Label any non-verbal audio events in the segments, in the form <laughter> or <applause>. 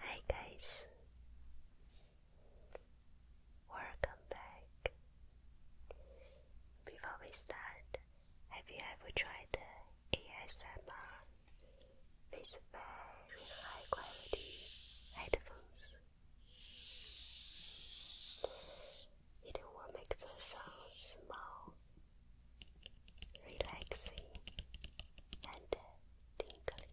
Hi guys, welcome back. Before we start, have you ever tried ASMR? These very high quality headphones. It will make the sound small relaxing and tingling.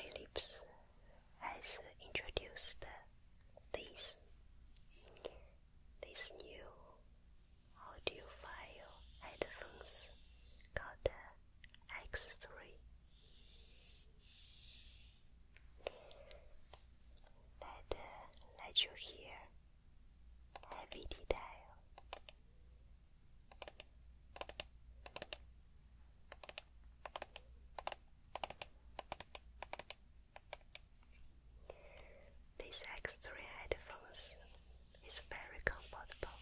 Phillips has introduced this this new audiophile headphones called X3. 来的来就 uh, here heavy detail these extra headphones is very comfortable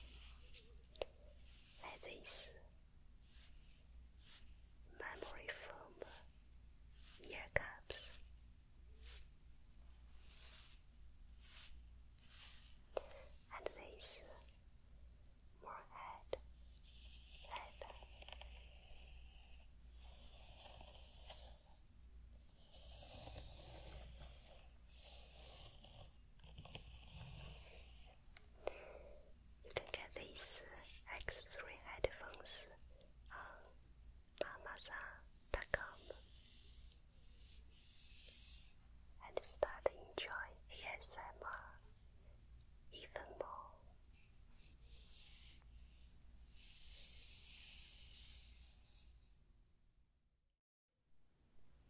like this memory foam ear And this more head lab you can get these X3 uh, headphones on uh, Amazon.com and start enjoy ASMR even more.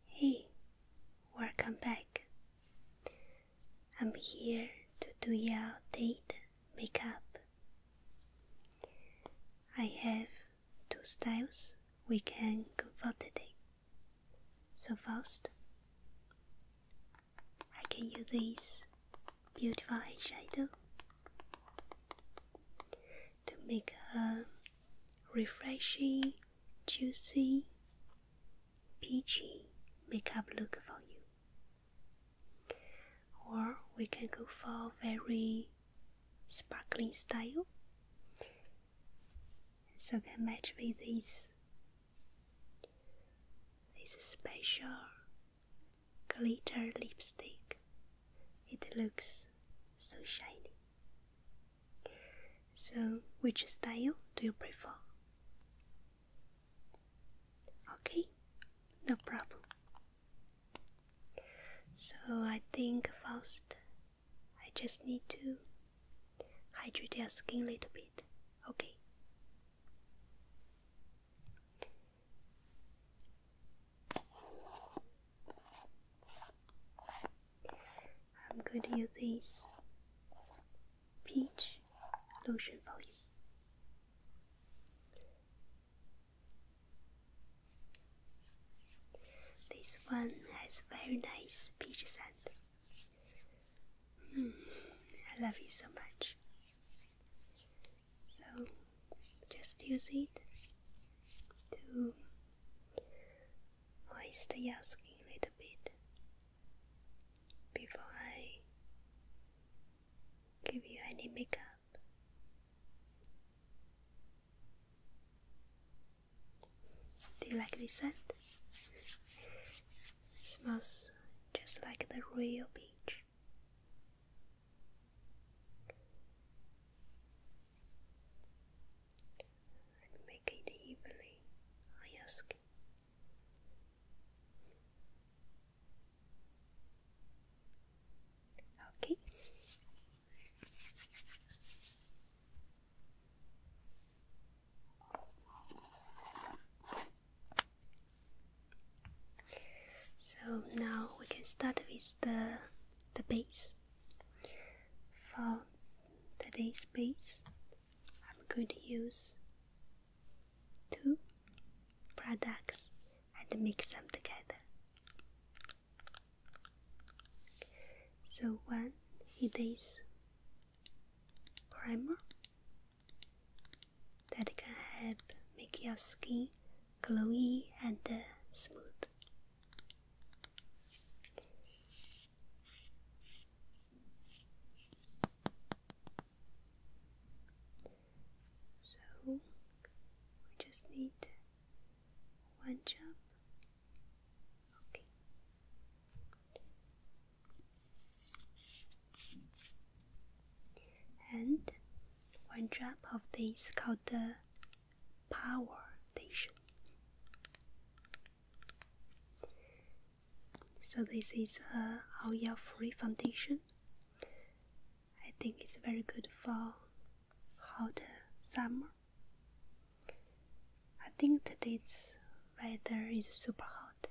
Hey, welcome back. I'm here to do your date makeup. I have two styles we can go for today. So first, I can use this beautiful eyeshadow to make a refreshing, juicy, peachy makeup look for you or we can go for a very sparkling style so can match with this this special glitter lipstick it looks so shiny so which style do you prefer Okay, no problem. So I think first I just need to hydrate your skin a little bit. Okay. I'm going to use this peach lotion for you. This one has very nice peach scent. Mm, I love you so much. So just use it to moisten your a little bit before I give you any makeup. Do you like this scent? It smells just like the real beach. And make it evenly on your skin. Okay. So now we can start with the the base. For today's base, I'm going to use two products and mix them together. So one it is primer that can help make your skin glowy and uh, smooth. So we just need one job. Okay. And one drop of this called the power station. So this is uh, a oil free foundation I think it's very good for hot summer. I think today's weather is super hot,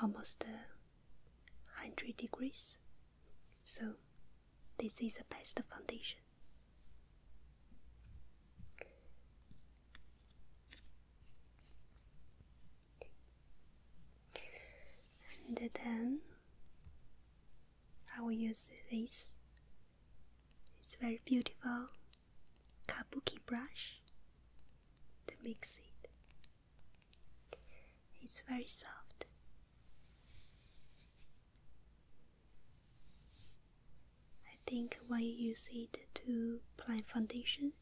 almost 100 uh, degrees. So, this is the best foundation and then I will use this. It's very beautiful kabuki brush to mix it. It's very soft. I think when you use it to apply foundation,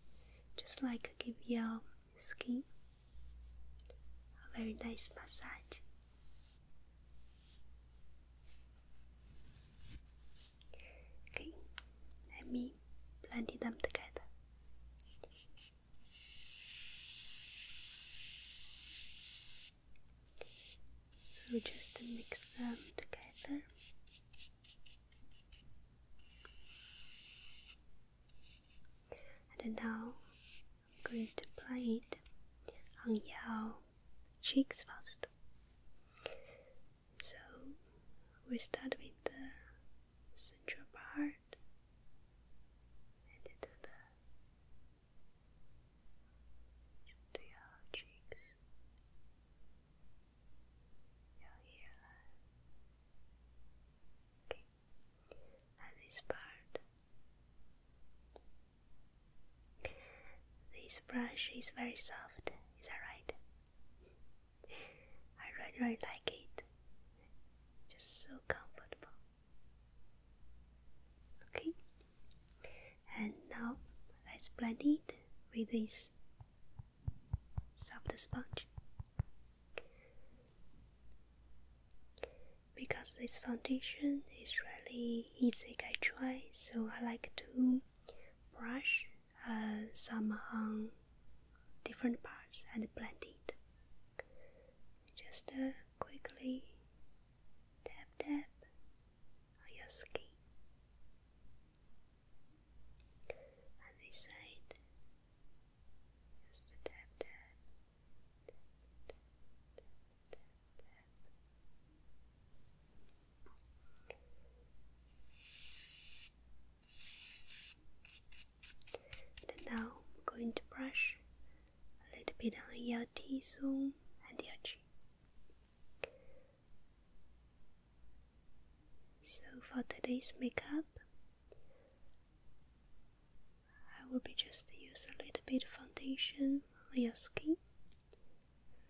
just like give your skin. A very nice massage. Okay, let me blend them together. So just mix them together. And now I'm going to play it on your cheeks first. So we start with the central part and do the to your cheeks, your hairline at this part. This brush is very soft, is that right? I really, really like it. Just so comfortable. Okay, and now let's blend it with this soft sponge. Because this foundation is really easy to try, so I like to brush uh, some on different parts and blend it. Just uh, quickly tap tap your skin. And this side, and now I'm going to brush a little bit on your T zone and your cheek. So for today's makeup, I will be just use a little bit of foundation on your skin,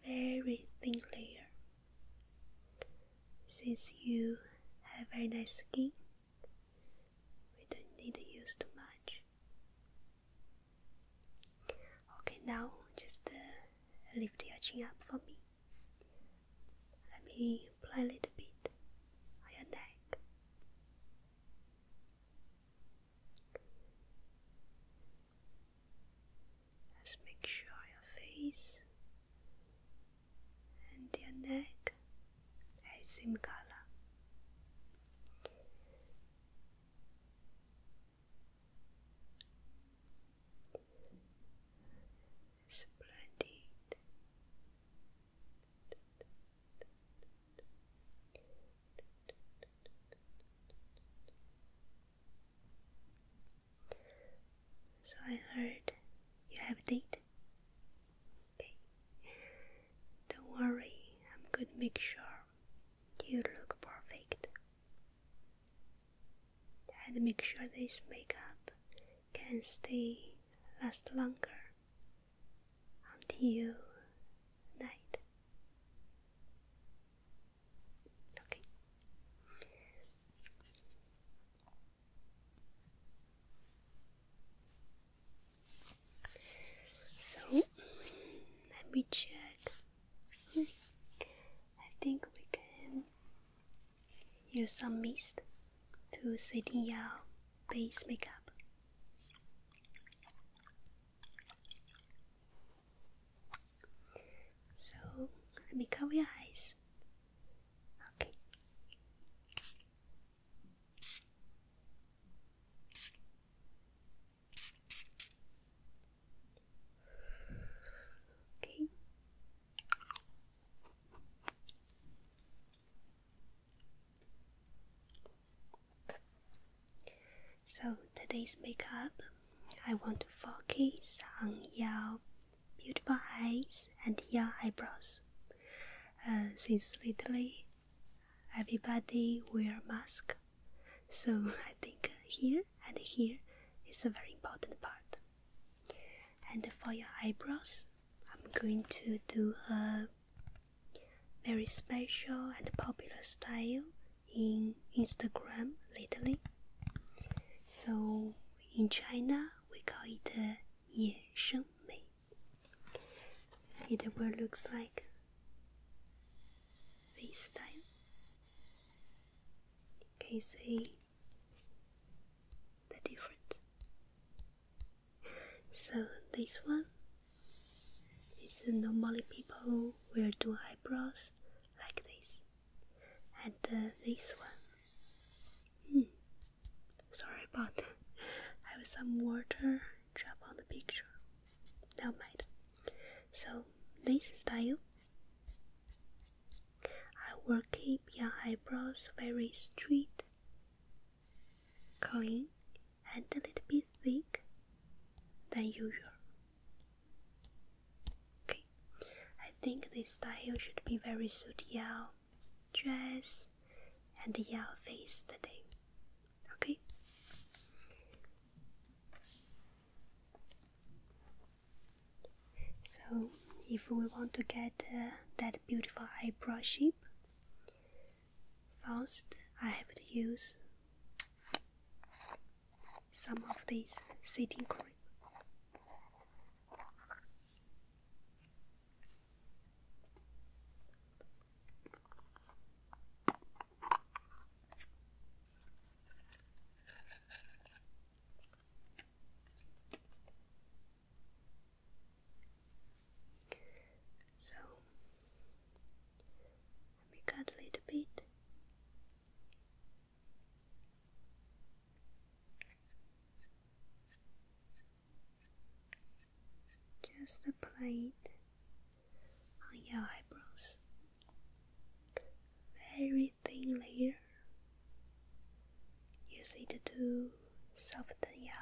very thin layer. Since you have very nice skin, we don't need to use too much. Okay, now just uh, lift your chin up for me. Let me play a little bit on your neck. Just make sure your face and your neck are the same color. Splendid. So I heard you have a date. Don't worry, I'm gonna make sure you look perfect. And make sure this makeup can stay last longer until night. Okay. So let me check. I think we can use some mist to setting out base makeup. So let me cover your eyes. Okay. Okay. So today's makeup, I want to focus on your beautiful eyes and your eyebrows. Uh, since lately, everybody wear mask, so <laughs> I think here and here is a very important part. And for your eyebrows, I'm going to do a very special and popular style in Instagram lately. So in China we call it uh, 野生美. It will looks like this style. Can you see the difference? So this one is normally people wear do eyebrows like this, and uh, this one. Hmm, sorry about that. I have some water drop on the picture. No mind. So this style, I will keep your eyebrows very straight clean and a little bit thick than usual. Okay, I think this style should be very suit your dress and your face today. Okay. So, if we want to get uh, that beautiful eyebrow shape, First, I have to use some of this setting cream. So let cut a little bit. Just apply it on your eyebrows. Very thin layer. Use it to soften your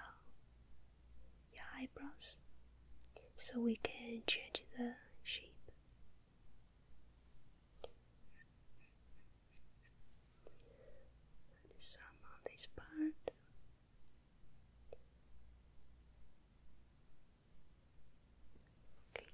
your eyebrows so we can change the shape. some on this part. Okay.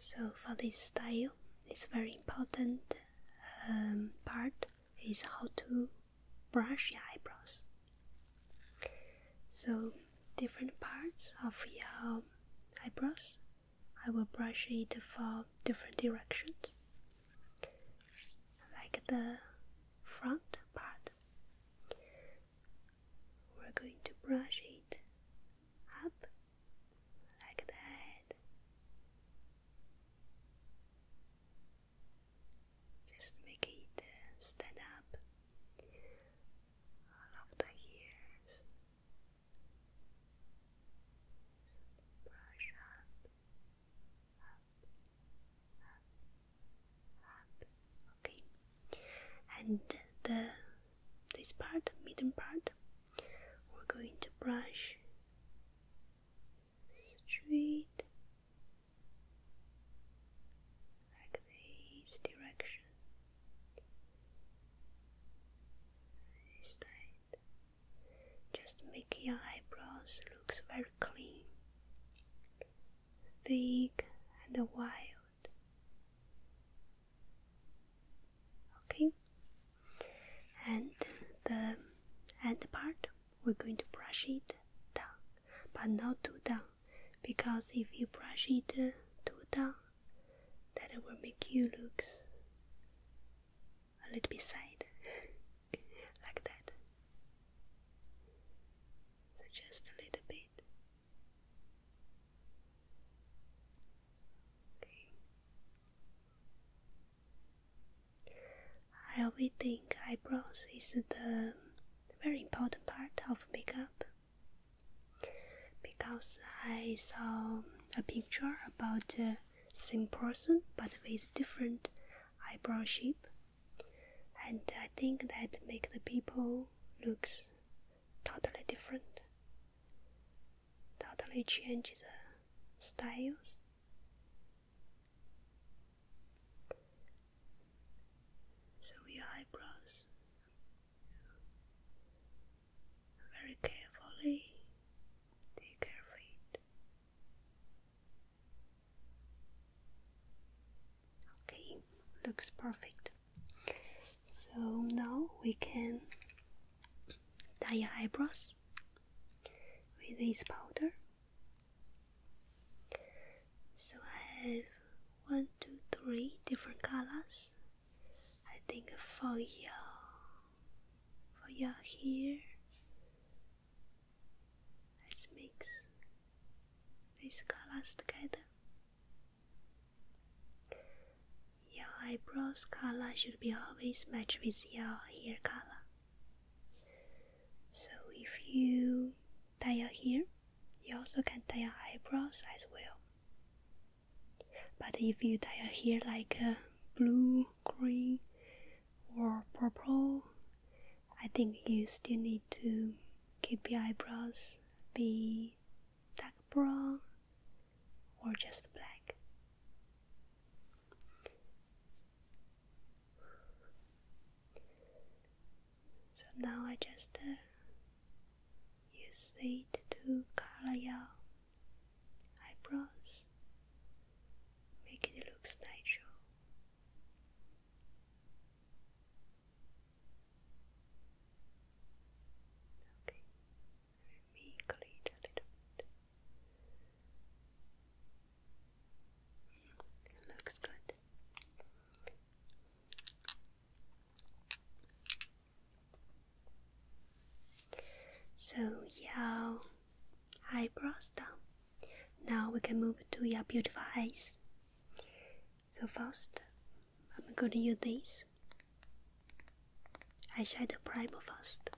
So, for this style, it's very important um, part is how to brush your eyebrows. So, different parts of your eyebrows, I will brush it for different directions, like the front part. We're going to brush it up like that. Just make it stand up all of the ears. Brush up, up, up, up. Okay. And the this part, middle part, we're going to brush straight like this direction, this side. Just make your eyebrows looks very clean, thick and wild. Okay, and the end part we're going to brush it down, but not too down because if you brush it uh, too down, that will make you look a little bit sad, <laughs> like that. So just a little bit. Okay. I always think eyebrows is the very important part of makeup because I saw a picture about the same person but with different eyebrow shape and I think that make the people looks totally different totally change the styles so your eyebrows very carefully take care of it. Okay, looks perfect. So now we can dye your eyebrows with this powder. So I have one, two, three different colors. I think for your for your hair, let's mix these colors together. Your eyebrows color should be always matched with your hair color. So if you dye your hair, you also can dye your eyebrows as well. But if you dye your hair like uh, blue, green, or purple, I think you still need to keep your eyebrows be dark brown or just black. So now I just uh, use it to color your eyebrows, make it look natural. Okay, let clean a little bit. looks good. So yeah, eyebrows down. Now we can move to your beautiful eyes. So first, I'm going to use this eyeshadow primer first,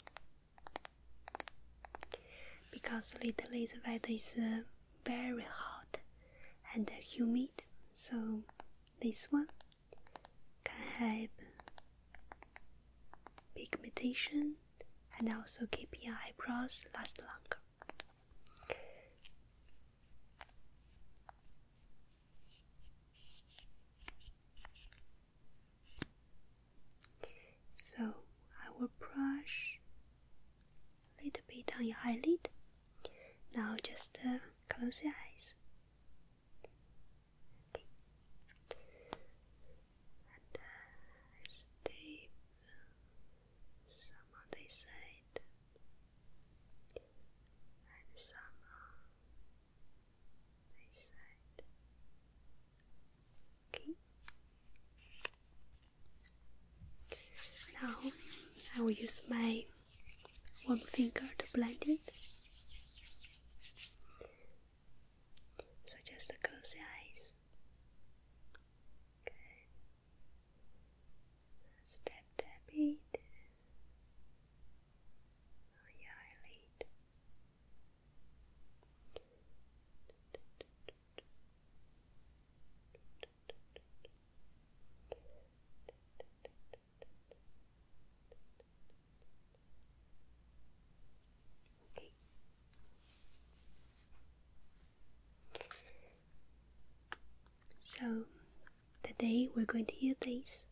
because lately the weather is uh, very hot and humid, so this one can help pigmentation and also keep your eyebrows last longer. So I will brush a little bit on your eyelid. Now just uh, close your eyes. Okay. And uh, Some on this side. And some on this side. Okay. Now I will use my one finger to blend it. So just close eyes. Okay. Step it on your eyelid. So today we're going to use this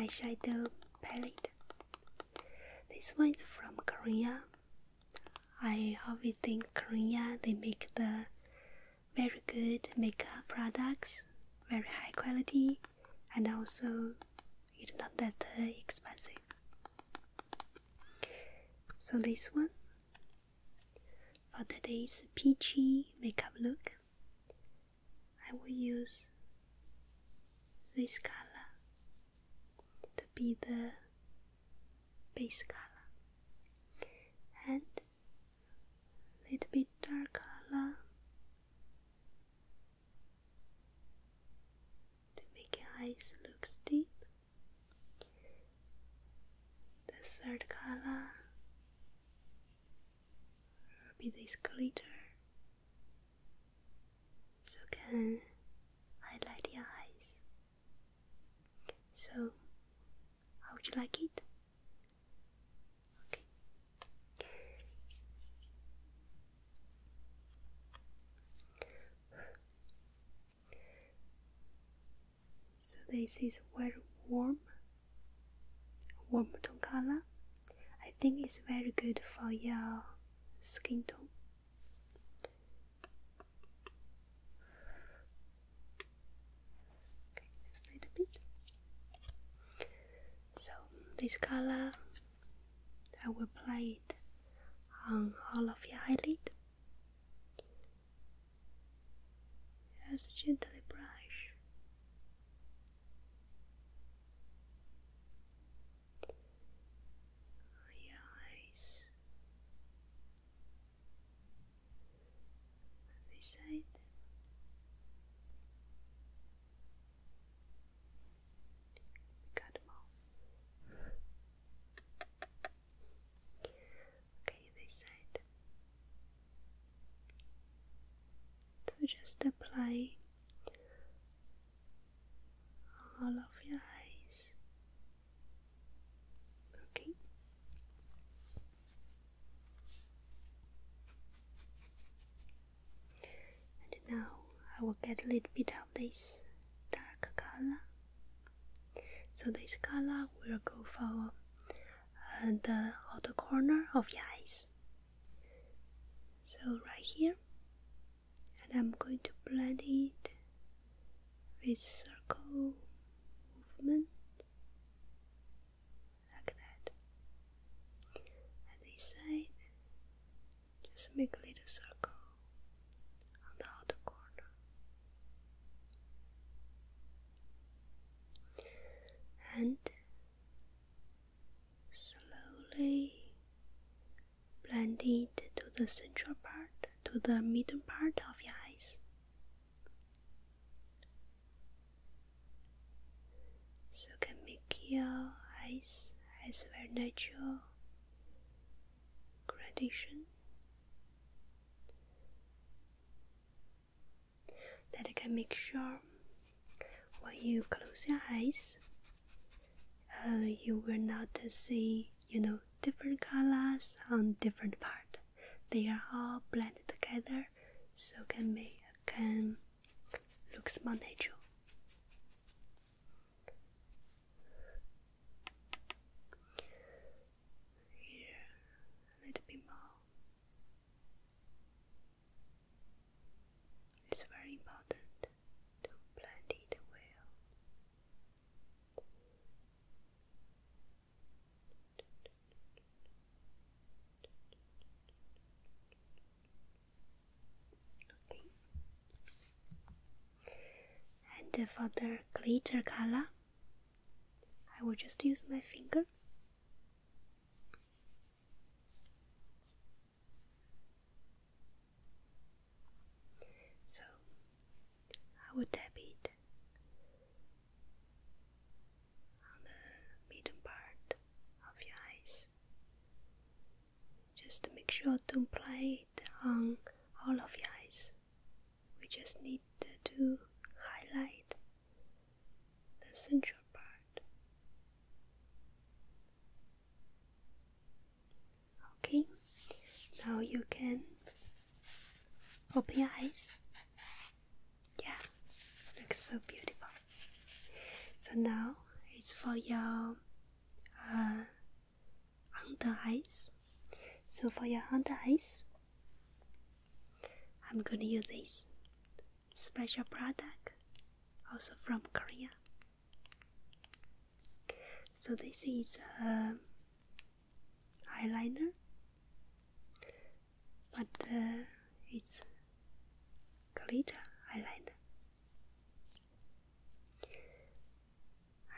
eyeshadow palette. This one is from Korea. I always think Korea they make the very good makeup products, very high quality, and also it's not that uh, expensive. So, this one for today's peachy makeup look, I will use this color to be the base color, and little bit dark color to make your eyes look deep. The third color will be this glitter, so can highlight your eyes. So how would you like it? Okay. So this is very warm, warm tone color. I think it's very good for your skin tone. Okay, just a bit. So this color, I will apply it on all of your eyelid. Just gently brush. Your oh, eyes beside them. We got them all. Okay, this side. So just apply all of your eyes. Okay. And now I will get a little bit of this dark color. So this color will go for uh, the outer corner of your eyes. So right here, and I'm going to blend it with circle movement like that. At this side, just make a little circle on the outer corner. And slowly blend it to the central part, to the middle part of your eyes. So can make your eyes has a natural gradation that I can make sure when you close your eyes uh, you will not see you know different colors on different part they are all blended together so can make can looks more natural here a little bit more it's very important to blend it well and for the glitter color, I will just use my finger. So I will tap it on the middle part of your eyes. Just make sure to apply it on all of your eyes. We just need to highlight the central part. Okay, now you can open your eyes. Yeah, looks so beautiful. So now it's for your uh, under eyes. So for your under eyes, I'm gonna use this special product, also from Korea. So this is uh, eyeliner, but uh, it's glitter eyeliner.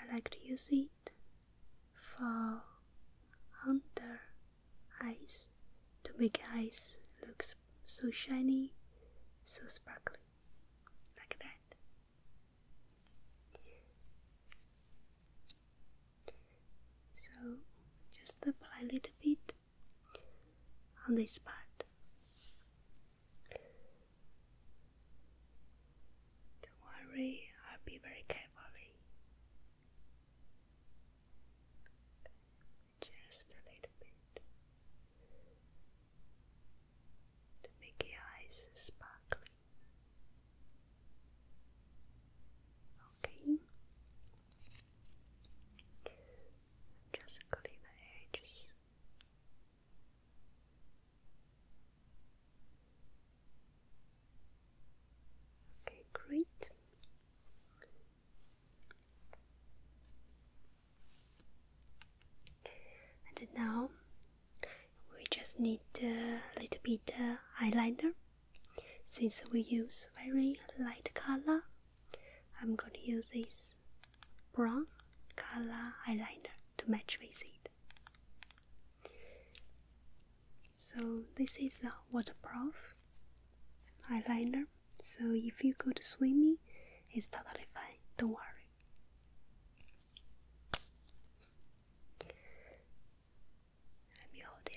I like to use it for under eyes to make eyes look so shiny, so sparkly, like that. So just apply a little bit on this part. Don't worry, I'll be very carefully. Just a little bit to make your eyes sparkling. Okay, just cutting the edges. Okay, great. And now we just need a little bit uh, eyeliner. Since we use very light color, I'm going to use this brown color eyeliner to match with it. So this is a waterproof eyeliner. So if you go to swimming, it's totally fine. Don't worry. I'm your the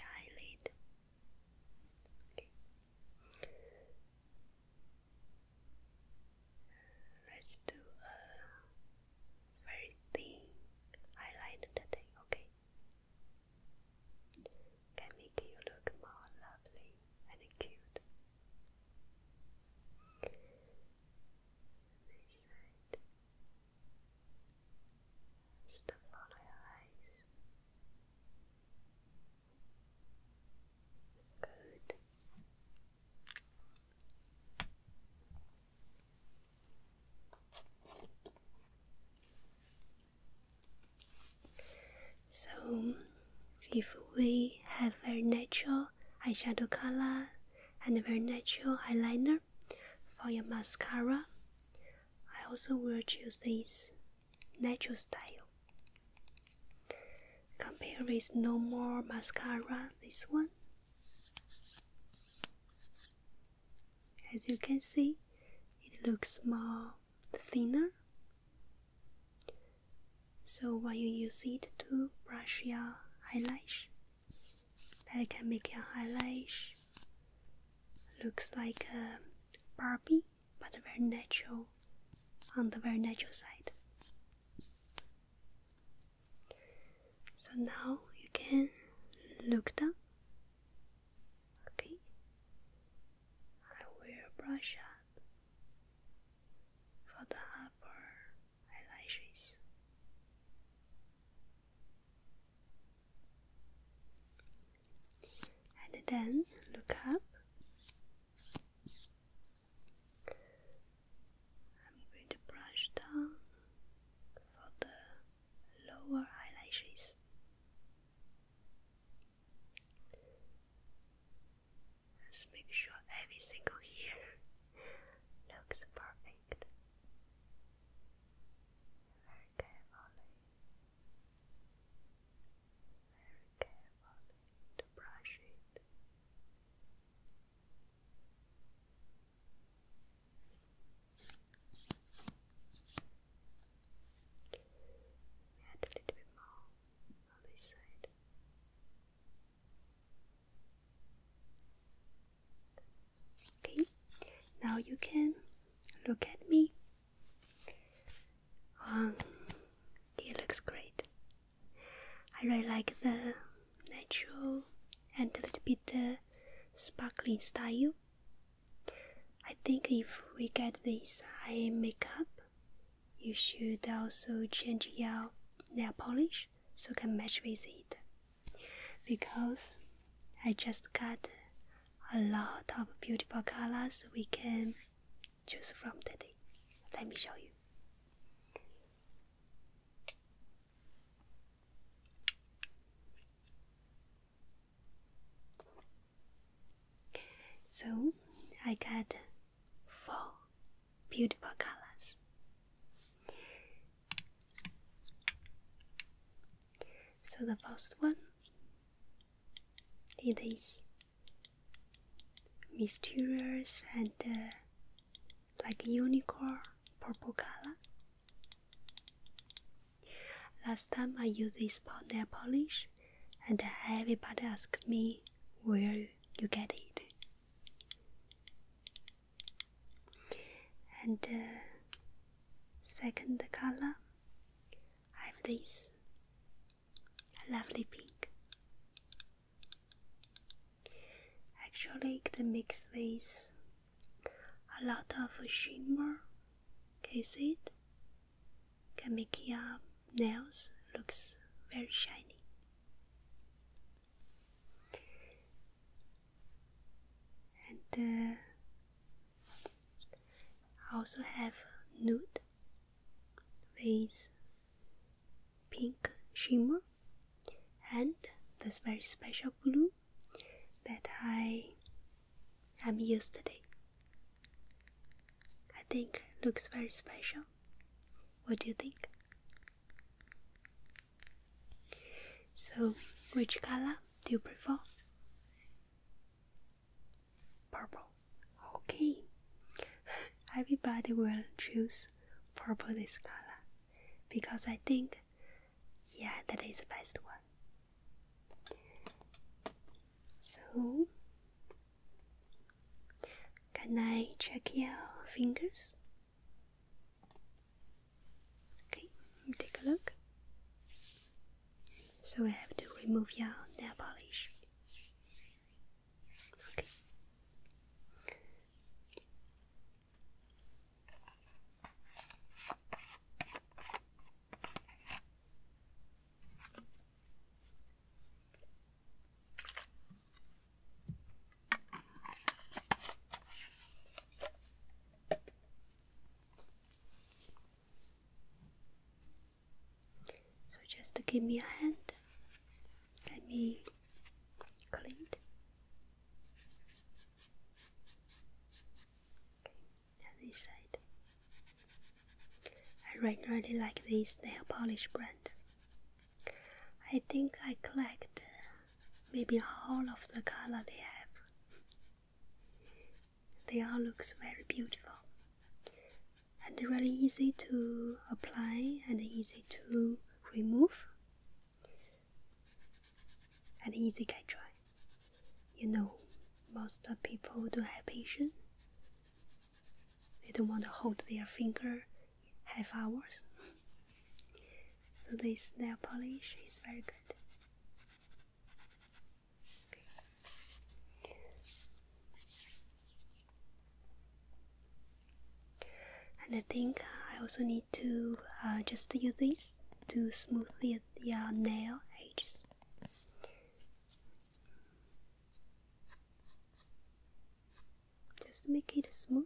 Let's do a very thin eyeliner today, okay? Can make you look more lovely and cute. This side is eyes. Good. So, if we have very natural eyeshadow color and very natural eyeliner for your mascara, I also will choose this natural style. Compare with no more mascara, this one. As you can see, it looks more thinner. So when you use it to brush your eyelash, that can make your eyelash looks like a Barbie, but very natural, on the very natural side. So now you can look down. Okay, I will brush up for the upper eyelashes and then look up. I'm going to brush down for the lower eyelashes. let make sure every single here <laughs> looks perfect. Very carefully very carefully to brush it. Add a little bit more on this side. Okay, now you can look at me um, it looks great. I really like the natural and a little bit uh, sparkling style. I think if we get this eye makeup, you should also change your nail polish so can match with it. Because I just got a lot of beautiful colors we can choose from today. Let me show you. So I got four beautiful colors. So the first one it is mysterious and uh, like unicorn purple color. Last time I used this nail polish, and everybody asked me where you get it. And uh, second color I have this lovely pink. Actually, the mix with a lot of shimmer. Can you see it? Can make your nails looks very shiny. And uh, I also have nude with pink shimmer and this very special blue that I am using today. I think looks very special. What do you think? So, which color do you prefer? Purple. Okay. Everybody will choose purple this color because I think yeah that is the best one. So can I check your fingers? Okay, take a look. So I have to remove your nail polish. Okay. So just to give me a hand. Let me clean it. Okay, this side. I really, really like this nail polish brand. I think I collect maybe all of the color they have. They all looks very beautiful and really easy to apply and easy to remove and easy can dry. You know, most people don't have patience. They don't want to hold their finger half hours. <laughs> so this nail polish is very good. And I think I also need to uh, just use this to smooth the, the uh, nail edges. Just make it smooth.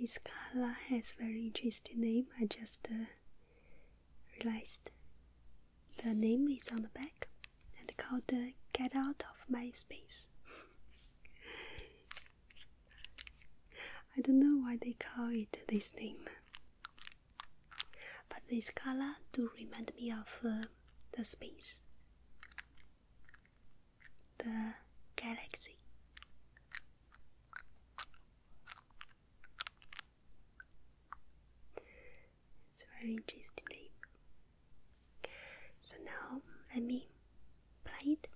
This color has very interesting name. I just uh, realized the name is on the back and called the "Get Out of My Space." I don't know why they call it this name, but this color do remind me of uh, the space, the galaxy. It's very interesting So now let me play it.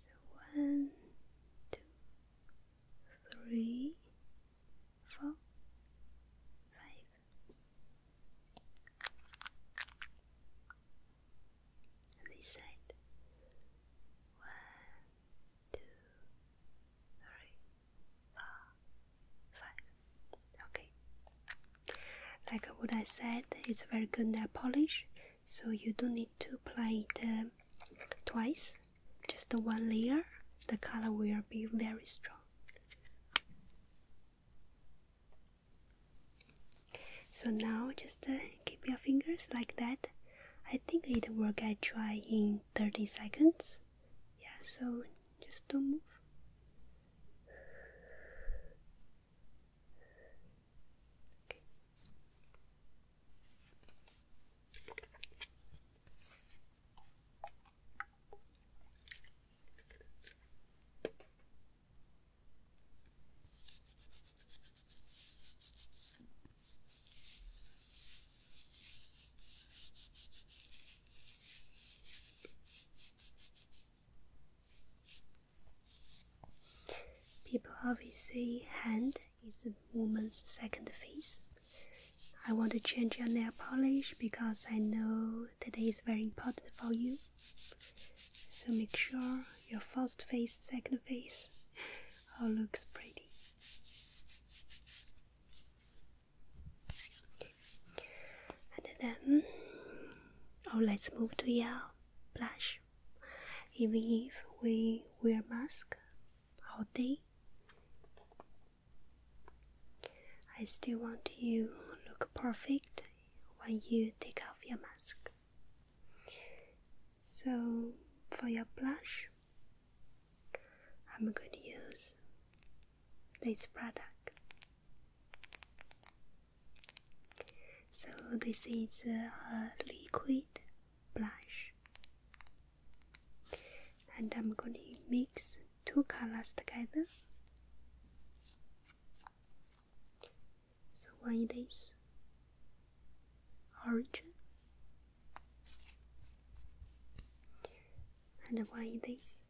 So one, two, three, four, five. this side. One, two, three, four, five. Okay. Like what I said, it's very good nail polish, so you don't need to apply it um, twice just the one layer, the color will be very strong. So now just uh, keep your fingers like that. I think it will get dry in 30 seconds. Yeah, so just don't move. People always say hand is a woman's second face, I want to change your nail polish because I know today is very important for you. So make sure your first face, second face <laughs> all looks pretty. And then, oh, let's move to your blush. Even if we wear mask, all day. I still want you look perfect when you take off your mask. So for your blush, I'm going to use this product. So this is a liquid blush and I'm going to mix two colors together. So why is orange and why is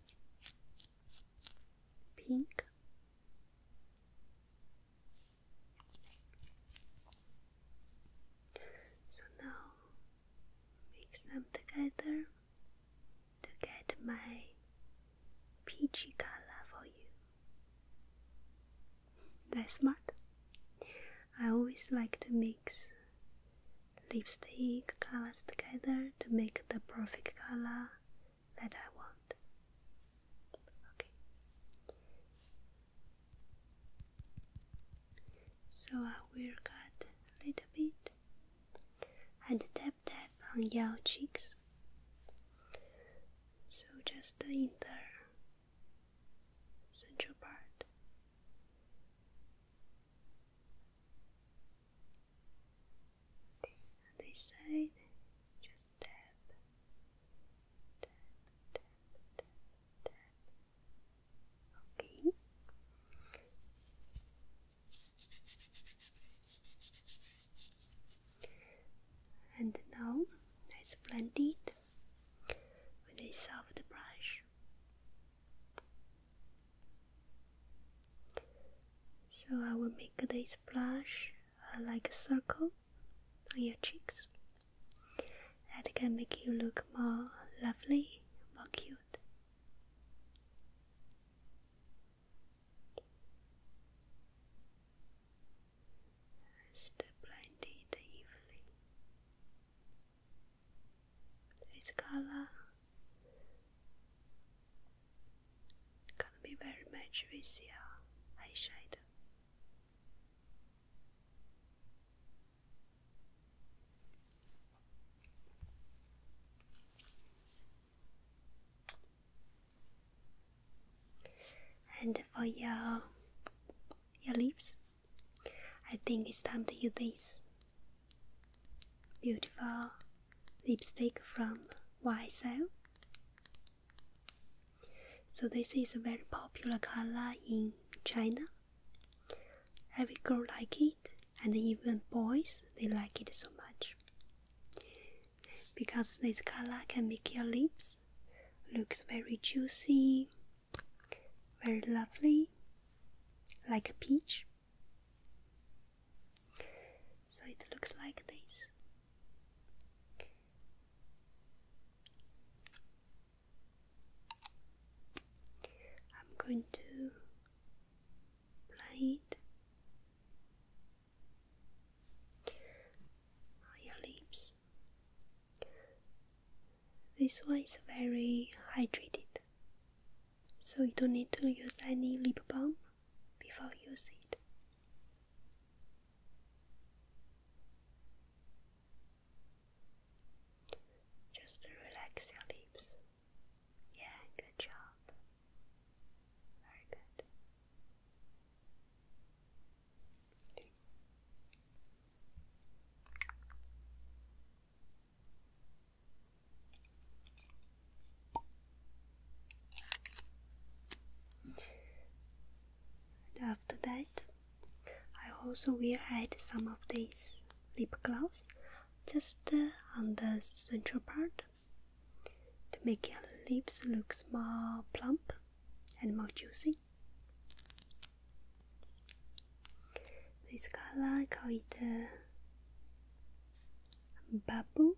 pink. So now mix them together to get my peachy color for you. That's smart. I always like to mix lipstick colors together to make the perfect color that I want. Okay. So I will cut a little bit and tap tap on your cheeks. So just in the central part. this side, just tap, tap, tap, tap, tap, Okay. And now let's blend it with a soft brush. So I will make this blush uh, like a circle on your cheeks. That can make you look more lovely, more cute cute. Step blinded evening. This color can be very much with your eyeshadow. And for your your lips, I think it's time to use this beautiful lipstick from YSL. So this is a very popular color in China. Every girl like it, and even boys they like it so much. Because this color can make your lips looks very juicy, very lovely, like a peach. So it looks like this. I'm going to blade your lips. This one is very hydrated, so you don't need to use any lip balm before using it. Just relax your lips. Yeah, good job. Very good. And after that, I also will add some of these lip gloss just uh, on the central part to make your lips look more plump and more juicy. This color I call it uh, Babu.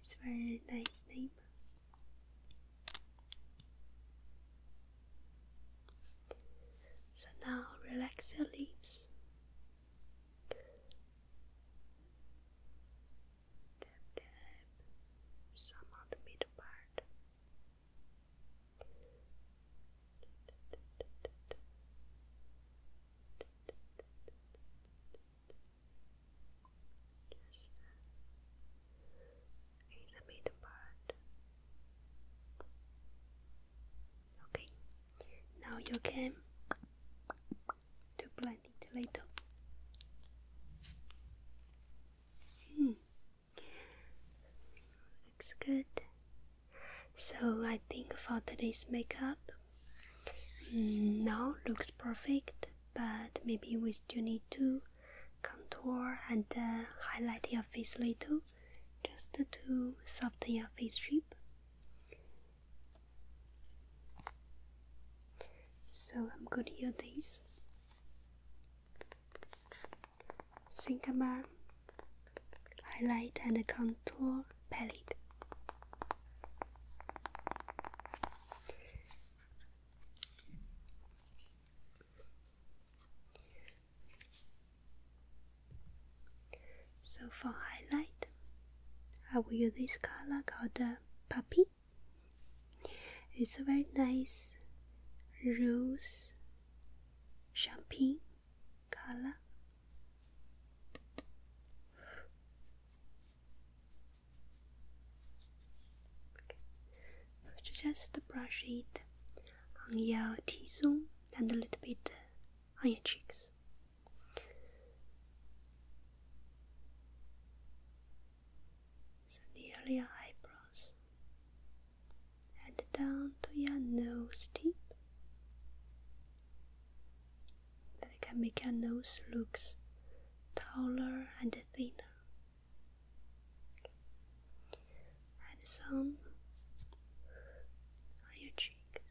It's a very nice name. So now relax your lips. some on the middle part. Uh, in the middle part. Okay, now you can to blend it a little. Looks good. So I think for today's makeup, mm, now looks perfect. But maybe we still need to contour and uh, highlight your face a little just to soften your face shape. So I'm gonna use this. Syncama highlight and contour palette. So for highlight, I will use this color called the Puppy. It's a very nice rose champagne color. Okay. Just brush it on your T zone and a little bit on your cheeks. So nearly your eyebrows and down to your nose tip. That can make your nose looks taller and thinner and some on your cheeks.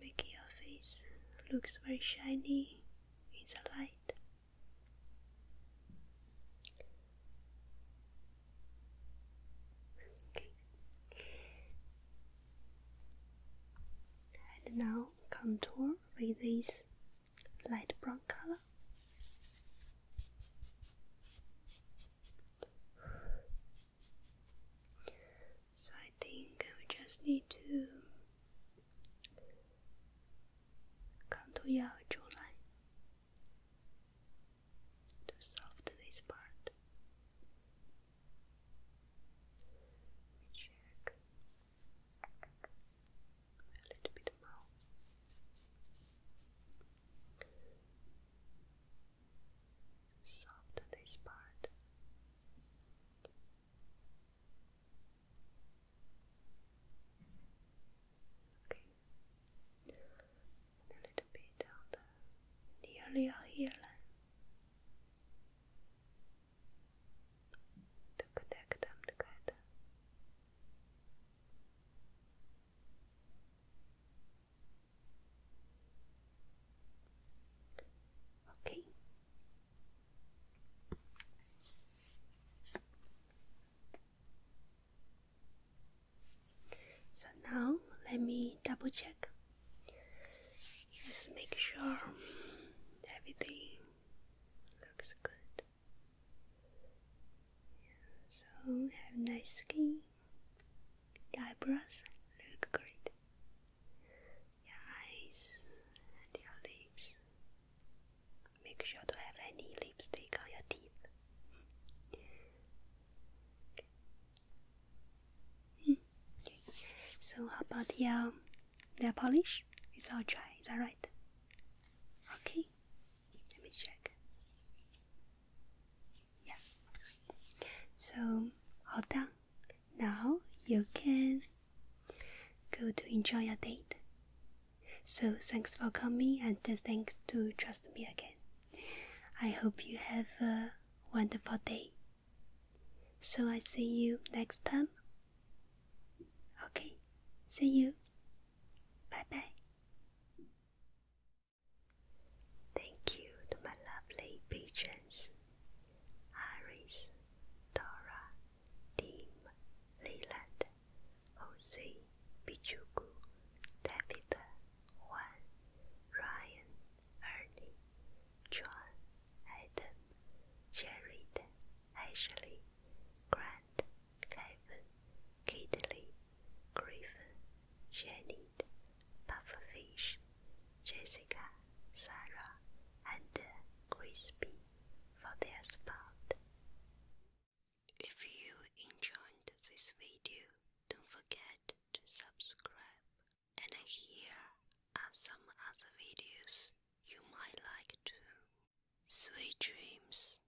make your face looks very shiny in the light. And now contour with this light brown color. So I think we just need to contour your jawline to soften this part. check a little bit more. Soft this part. Okay, a little bit on the nearly hairline to connect them together. Okay. So now let me double check. Just make sure everything looks good. So have nice skin. your eyebrows look great. Your eyes and your lips. Make sure to have any lipstick on your teeth. Okay. So how about your nail polish? It's all dry, is that right? Okay. Let me check. Yeah. So all done. Now you can go to enjoy your date. So thanks for coming and thanks to trust me again. I hope you have a wonderful day. So I see you next time. Okay, see you. Bye bye. Thank you to my lovely patrons Iris, Dora, Tim, Leland, Jose, Pichuku, David, Juan, Ryan, Ernie, John, Adam, Jared, Ashley, Grant, Ivan, Kidley, Griffin, Janet, Pufferfish, Jessica, Sarah, and uh, Crispy for their support. If you enjoyed this video, don't forget to subscribe. And here are some other videos you might like too. Sweet dreams.